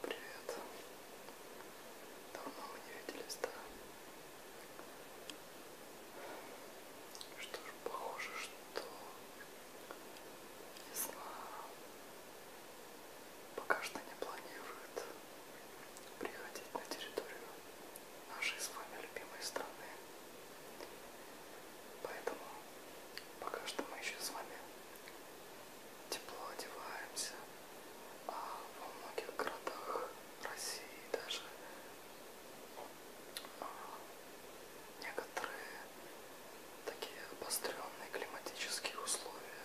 Привет. Давно мы не виделись, да? Что ж, похоже, что весна пока что не планирует приходить на территорию нашей с вами любимой страны. Поэтому пока что мы еще с вами тепло одеваемся, а во многих городах России даже а, некоторые такие обостренные климатические условия,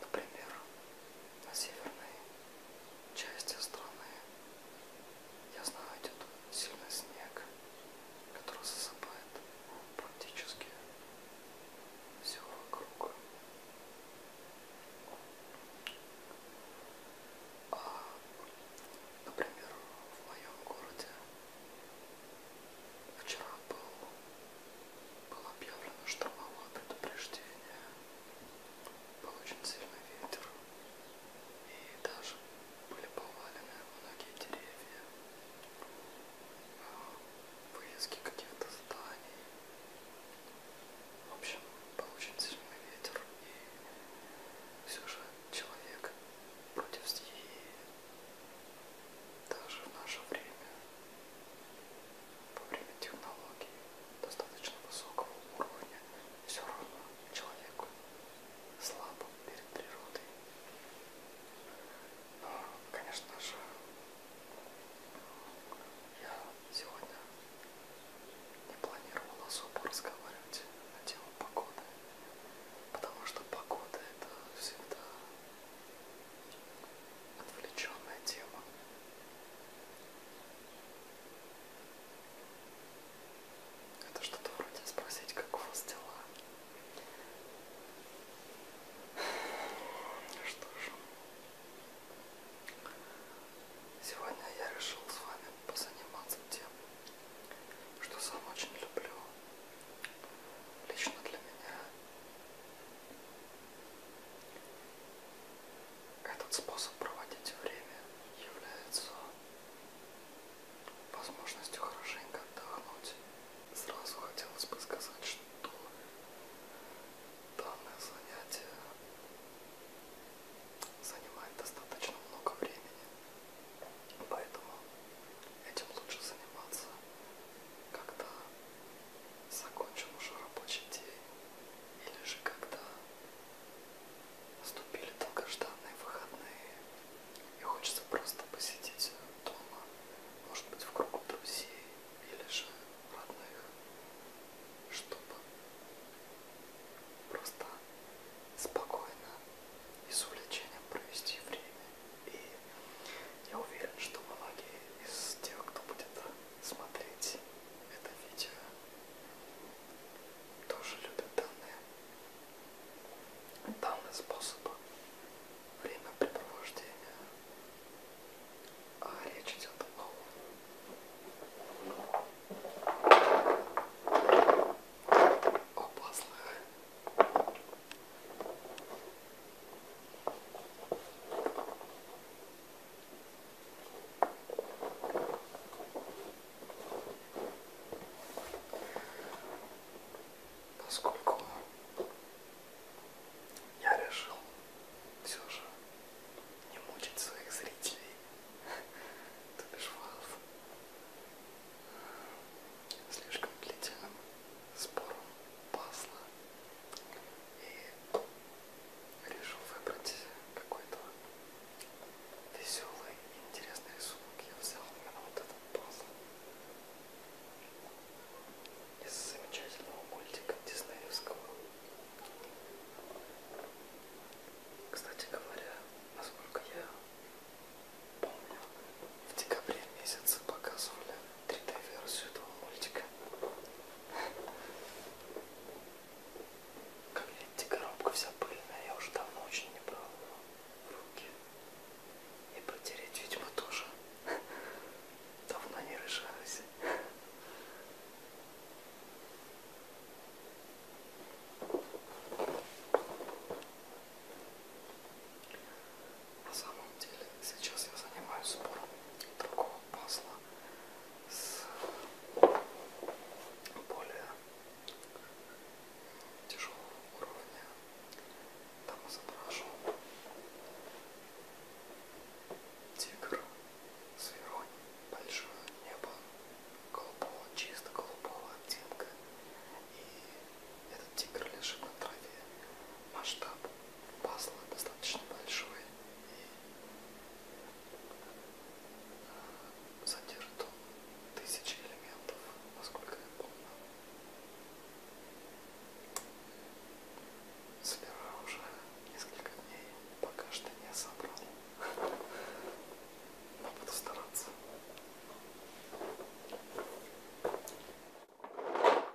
например, на северной части страны я знаю, идет сильный снег, который засыпает практически все вокруг. А, например, в моем городе вчера был, было объявлено штормовое предупреждение. Был очень сильный ветер и даже были повалены многие деревья, а, вывески каких-то зданий. В общем, был очень сильный ветер, и все же человек против стихии даже в наше время, во время технологий достаточно высокого уровня, все равно человеку слабым перед природой. Но, конечно же, я сегодня не планировал особо разговаривать на тему погоды, потому что погода это всегда отвлеченная тема. Это что-то вроде спросить, как у вас дела. Что ж, сегодня я решил с вами позаниматься тем, что сам очень люблю. Лично для меня этот способ проводить время является возможностью хорошенько отдохнуть. Сразу хотелось бы сказать, что данное занятие занимает достаточно много времени, поэтому этим лучше заниматься, когда закончим уже рабочий день или же когда наступили долгожданные выходные и хочется просто посидеть дома, может быть в кругу друзей или же родных, чтобы просто спокойно и с увлечением провести время. И я уверен, что многие из тех, кто будет смотреть это видео, тоже любят данные, данный способ времяпрепровождения. А речь идет о о пазлах поскольку я решил все же не мучить своих зрителей, то бишь вас, слишком длительным спором пасла и решил выбрать какой-то веселый и интересный рисунок. Я взял именно вот этот пазл из замечательного мультика диснеевского. Кстати говоря, насколько я помню, в декабре месяце показывали 3D-версию этого мультика. Как видите, коробка вся пыльная, я уже давно очень не брал руки. И протереть, видимо, тоже давно не решалась. На самом деле, сейчас я занимаюсь сбором другого масло с более тяжелого уровня. Там изображу тигр, сверонь, большое небо, голубого, чисто голубого оттенка. И этот тигр лежит на траве. Масштаб пазла достаточно большой. И задержит он тысячи элементов, насколько я помню. Собираю уже несколько дней, пока что не собрал. Но буду стараться. А,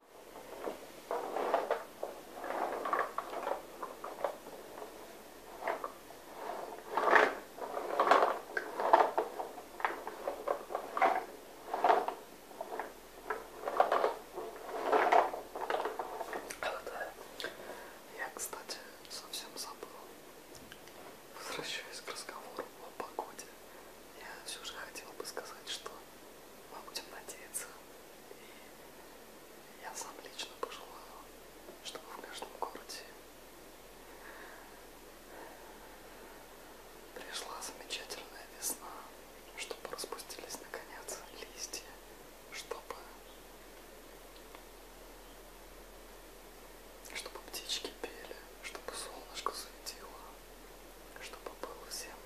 да. Я, кстати, совсем забыл. Возвращаясь к разговору о погоде, я все же хотела бы сказать, что мы будем надеяться и я сам лично пожелаю, чтобы в каждом городе пришла замечательная весна, чтобы распустились наконец листья, чтобы чтобы птички пели, чтобы солнышко светило, чтобы было всем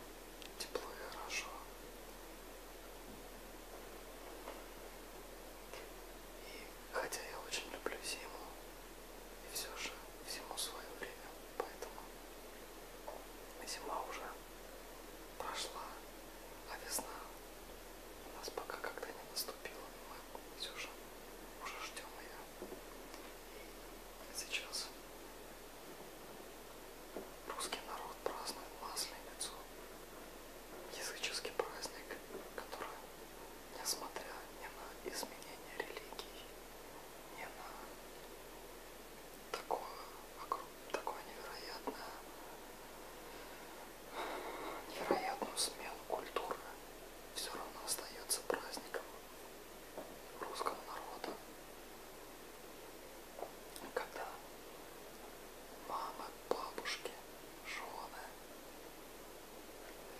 тепло и хорошо, и хотя я очень люблю зиму, и все же всему свое время, поэтому зима уже прошла, а весна у нас пока когда не наступила, мы все же уже ждем ее. И сейчас Русский народ празднует Масленицу, языческий праздник, который, несмотря ни на изменение религий, ни на такое, такое невероятное, невероятную смену культуры, все равно остается праздником русского народа когда мама, бабушки, жены,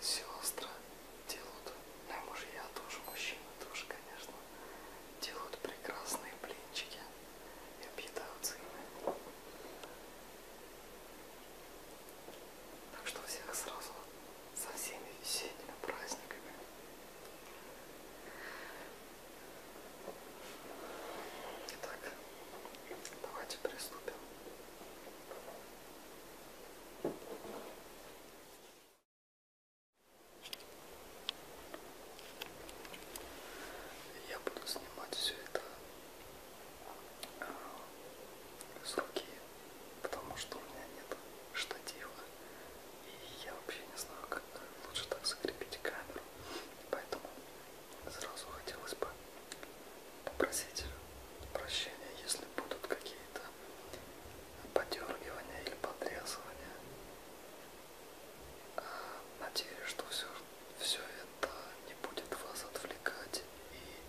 сестры делают, ну и мужья тоже, мужчины тоже, конечно, делают прекрасные блинчики и объедаются ими. Так что всех сразу со всеми весенними праздниками. Итак, давайте приступим. Я буду снимать все это э, с руки, потому что у меня нет штатива. И я вообще не знаю, как лучше так закрепить камеру. Поэтому сразу хотелось бы попросить прощения, если будут какие-то подергивания или подрезывания. А, надеюсь, что все, все это не будет вас отвлекать и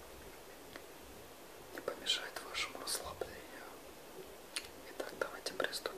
не помешает вашему расслаблению. Итак, давайте приступим.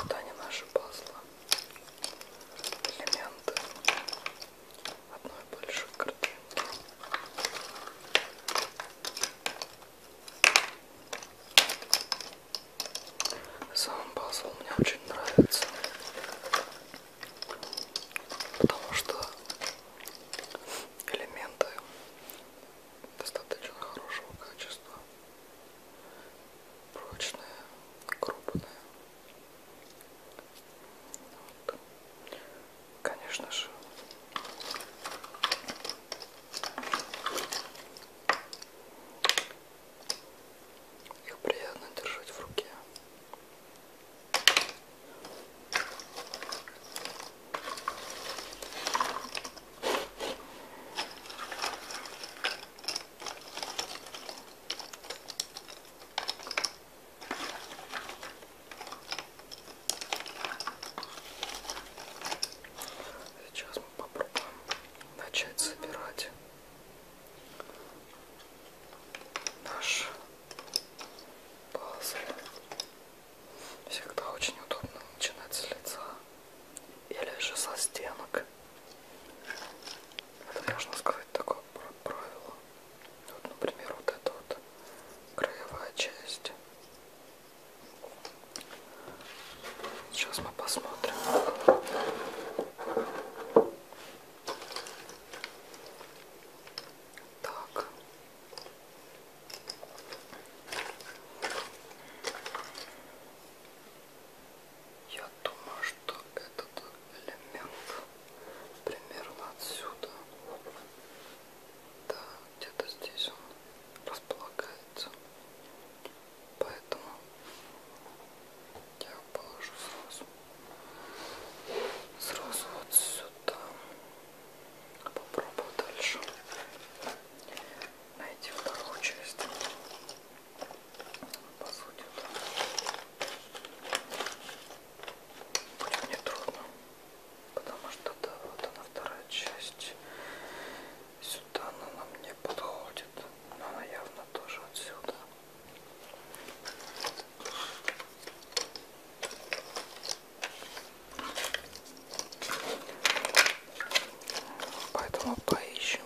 Вот они наши пазлы. Элементы одной большой картинки. Сам пазл мне очень нравится потому что элементы достаточно хорошего качества, прочные, крупные. Вот. Конечно же, их приятно держать в руке. Сейчас мы попробуем начать собирать наш пазл. Всегда очень удобно начинать с лица или же со стенок. Это, можно сказать, такое правило. Вот, например, вот эта вот краевая часть. Сейчас мы посмотрим. Так. Я думаю, что этот элемент примерно отсюда. Да, где-то здесь он располагается. Поэтому я положу сразу, сразу вот сюда. Попробую дальше найти вторую часть. По сути, да. будет нетрудно, потому что да, вот она вторая часть. Сюда она нам не подходит, но она явно тоже отсюда. Поэтому поищем.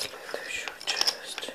Следующую часть.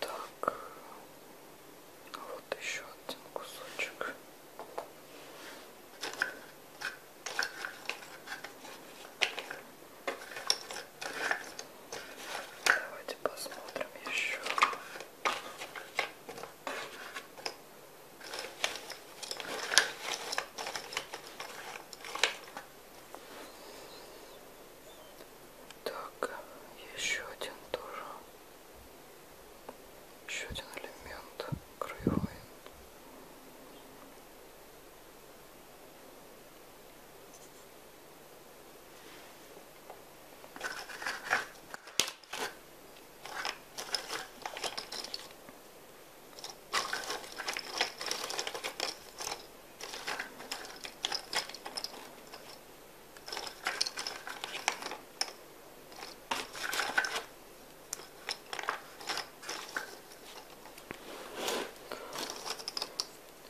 Так, а вот еще один кусочек. Давайте посмотрим еще. Так, еще один тоже. Еще один элемент краевой.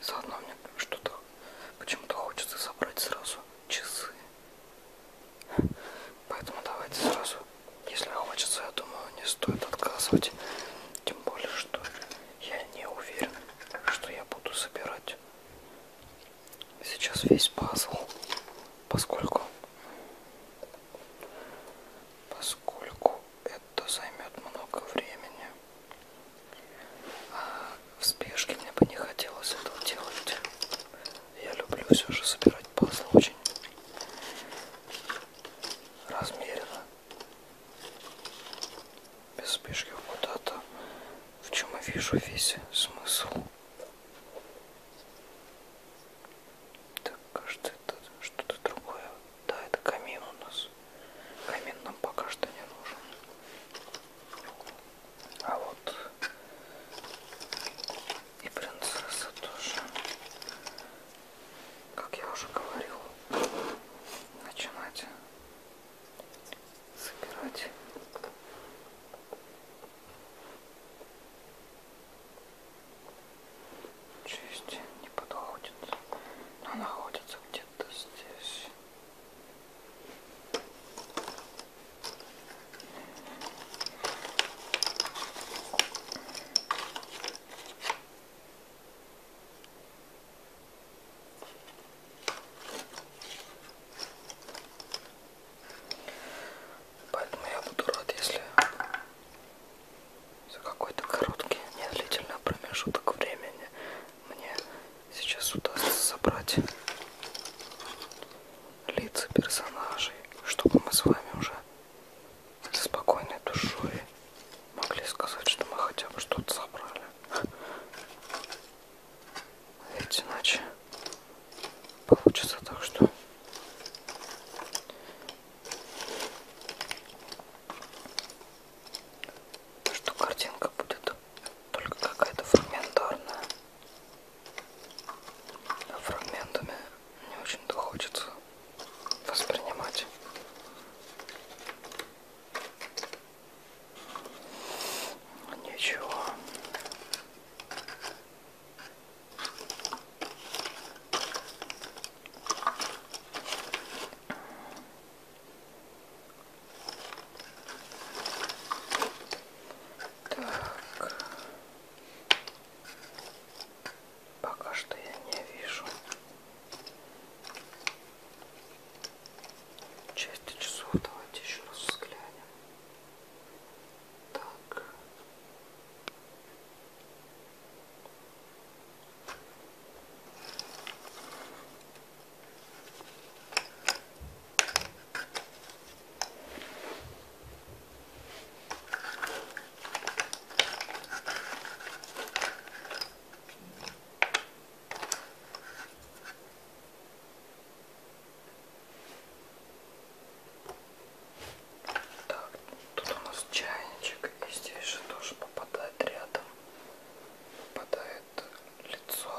Заодно мне что-то почему-то хочется собрать сразу часы. Поэтому давайте сразу если хочется, я думаю, не стоит отказывать. Тем более, что я не уверен, что я буду собирать сейчас весь пазл, поскольку поскольку это займет много времени. А в спешке мне бы не хотелось этого делать. Я люблю все же собирать пазл очень размеренно без спешки куда-то, в чем я вижу весь смысл. Так, кажется, это что-то другое. Да, это камин у нас. Камин нам пока что не нужен. А вот и принцесса тоже как я уже говорил, начинать собирать. Часть не подходит, но находится где-то здесь. Поэтому я буду рад, если за какой-то короткий, недлительный промежуток времени мне сейчас удастся собрать лица персонажей, чтобы мы с вами уже со спокойной душой могли сказать, что мы хотя бы что-то собрали. Ведь иначе получится так, что что картинка будет только какая-то фрагментарная. А фрагментами не очень-то хочется воспринимать. Ничего. Так. Пока что я не вижу. Части часов давайте еще раз взглянем. Так. Так, тут у нас чайничек, и здесь же тоже попадает рядом, попадает лицо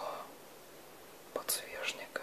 подсвечника.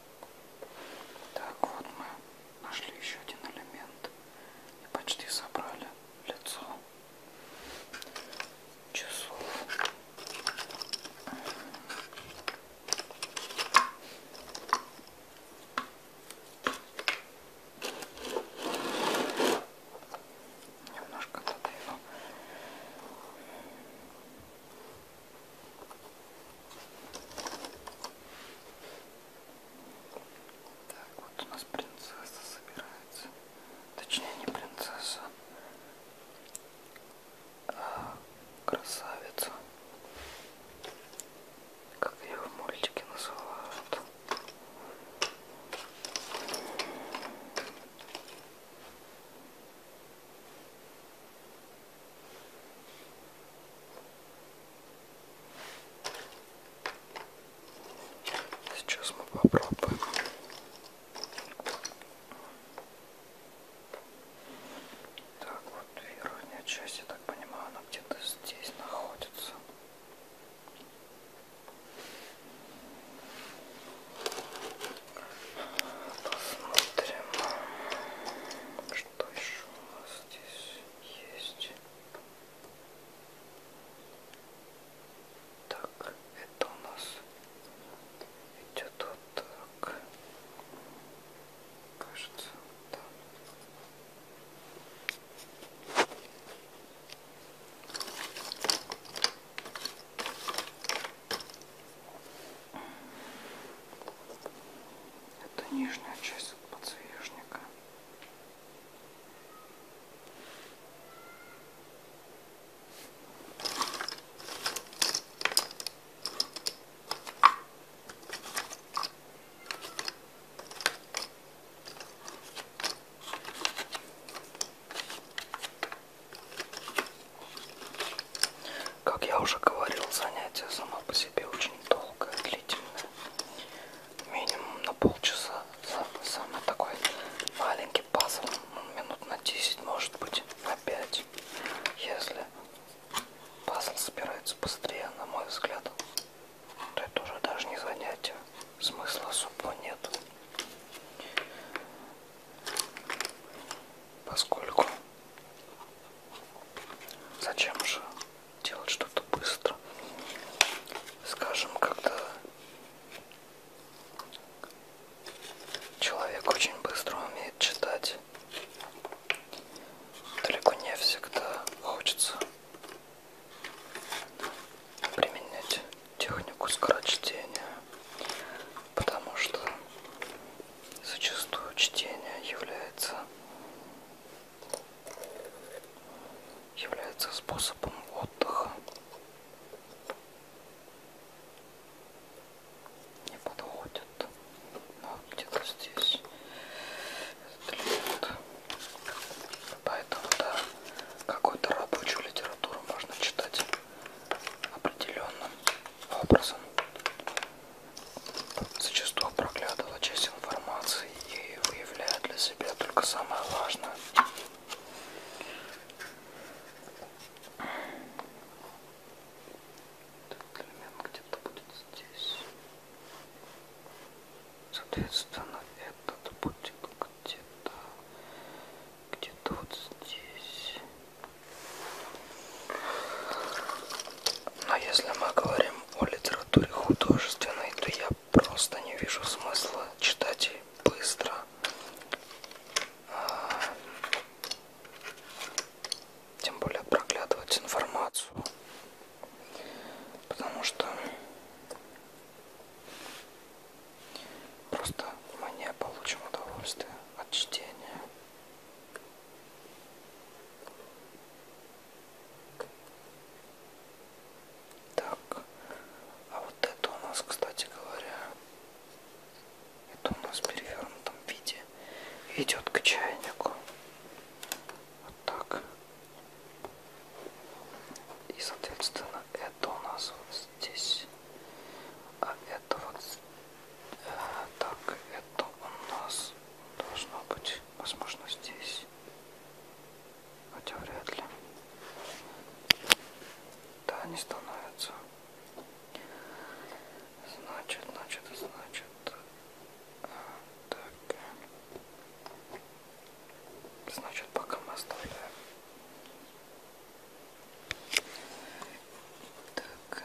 Так, вот мы нашли еще один элемент и почти собрали лицо часов. Немножко надо его так, вот у нас принцесса собирается. Точнее, не принцесса, а красавица. Как ее в мультике называют. Сейчас мы попробуем. Так, вот верхняя часть, я так понимаю, она где-то здесь находится. Посмотрим, что еще у нас здесь есть. Так, это у нас идет вот так. Кажется, да. Это нижняя часть подсвечника. Как я уже говорил, занятие само по себе очень долгое, длительное. Минимум на полчаса. Самый такой маленький пазл, ну, минут на 10, может быть, на 5. Если пазл собирается быстрее, на мой взгляд, то это уже даже не занятие. Смысла особо нет поскольку зачем же делать что-то быстро, скажем, когда человек очень быстро умеет читать, далеко не всегда хочется применять технику скорочтения потому что зачастую чтение является является способом отдыха не подходит но где-то здесь этот поэтому да какую-то рабочую литературу можно читать определенным образом зачастую проглядывала часть информации и выявляя для себя только самое важное. Этот элемент где-то будет здесь. Соответственно, этот будет где-то где-то вот здесь. Но если мы говорим о литературе художественной, то я просто не вижу смысла читать и быстро. А, тем более проглядывать информацию. Потому что Просто мы не получим удовольствие от чтения. Так, а вот это у нас, кстати говоря, это у нас в перевернутом виде идет к чайнику. Вот так. И, соответственно, это у нас вот здесь. А это вот э, так, это у нас должно быть, возможно, здесь. Хотя вряд ли. Да, не становится. Значит, значит, значит. Так. Значит, пока мы оставляем так. Вот.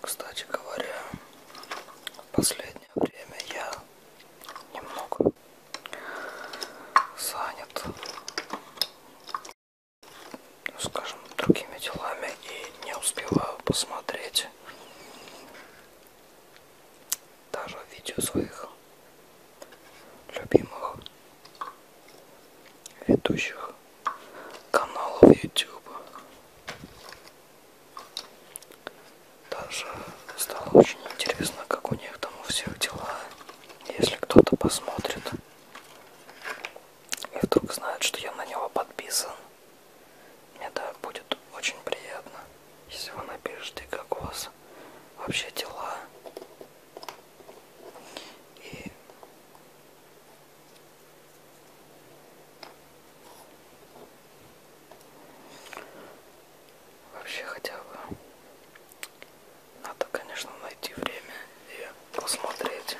Кстати говоря, в последнее время я немного занят, ну, скажем, другими делами и не успеваю посмотреть даже видео своих любимых ведущих каналов YouTube. Даже стало очень интересно, как у них там у всех дела. Если кто-то посмотрит и вдруг знает, что я на него подписан, мне да, будет очень приятно, если вы напишите, как у вас вообще дела. И вообще хотя бы надо, конечно, найти время и посмотреть.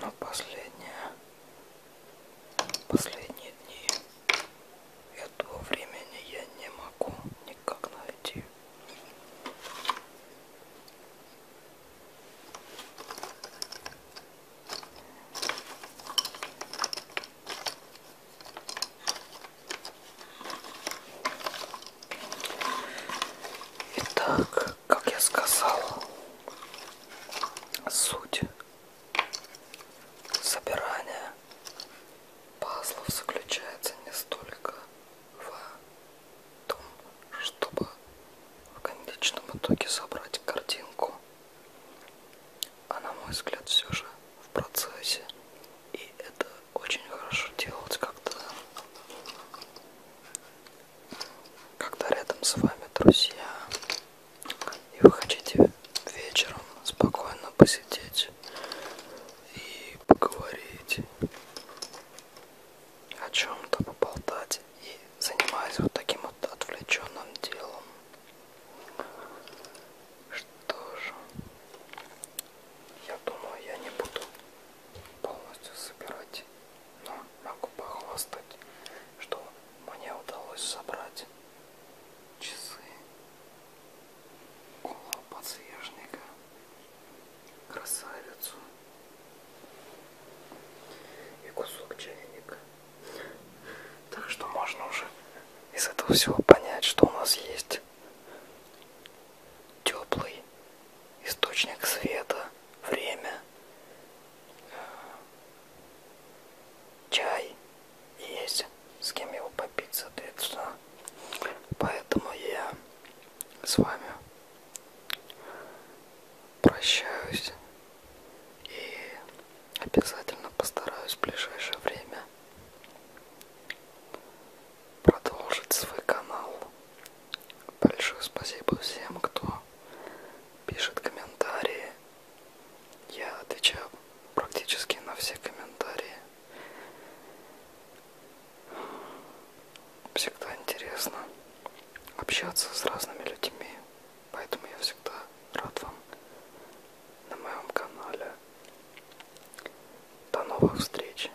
Но последнее Последние дни этого времени я не могу никак найти. Итак, как я сказал, суть собирания пазлов заключается не столько в том, чтобы в конечном итоге собрать картинку, а на мой взгляд все же в процессе. И это очень хорошо делать, когда когда рядом с вами друзья, и вы хотите вечером спокойно посидеть и поговорить о чем-то, поболтать и занимаясь вот таким вот отвлеченным делом. Что же, я думаю, я не буду полностью собирать но ну, могу похвастать, что мне удалось собрать часы около подснежника, красавицу и кусок чайника. Так что можно уже из этого всего понять, что у нас есть теплый источник света, время, чай есть с кем его попить соответственно поэтому я с вами прощаюсь и обязательно постараюсь в ближайшее время продолжить свой канал Большое спасибо всем, кто пишет комментарии. Я отвечаю практически на все комментарии. Всегда интересно общаться с разными людьми, поэтому я всегда рад вам на моем канале. До новых встреч!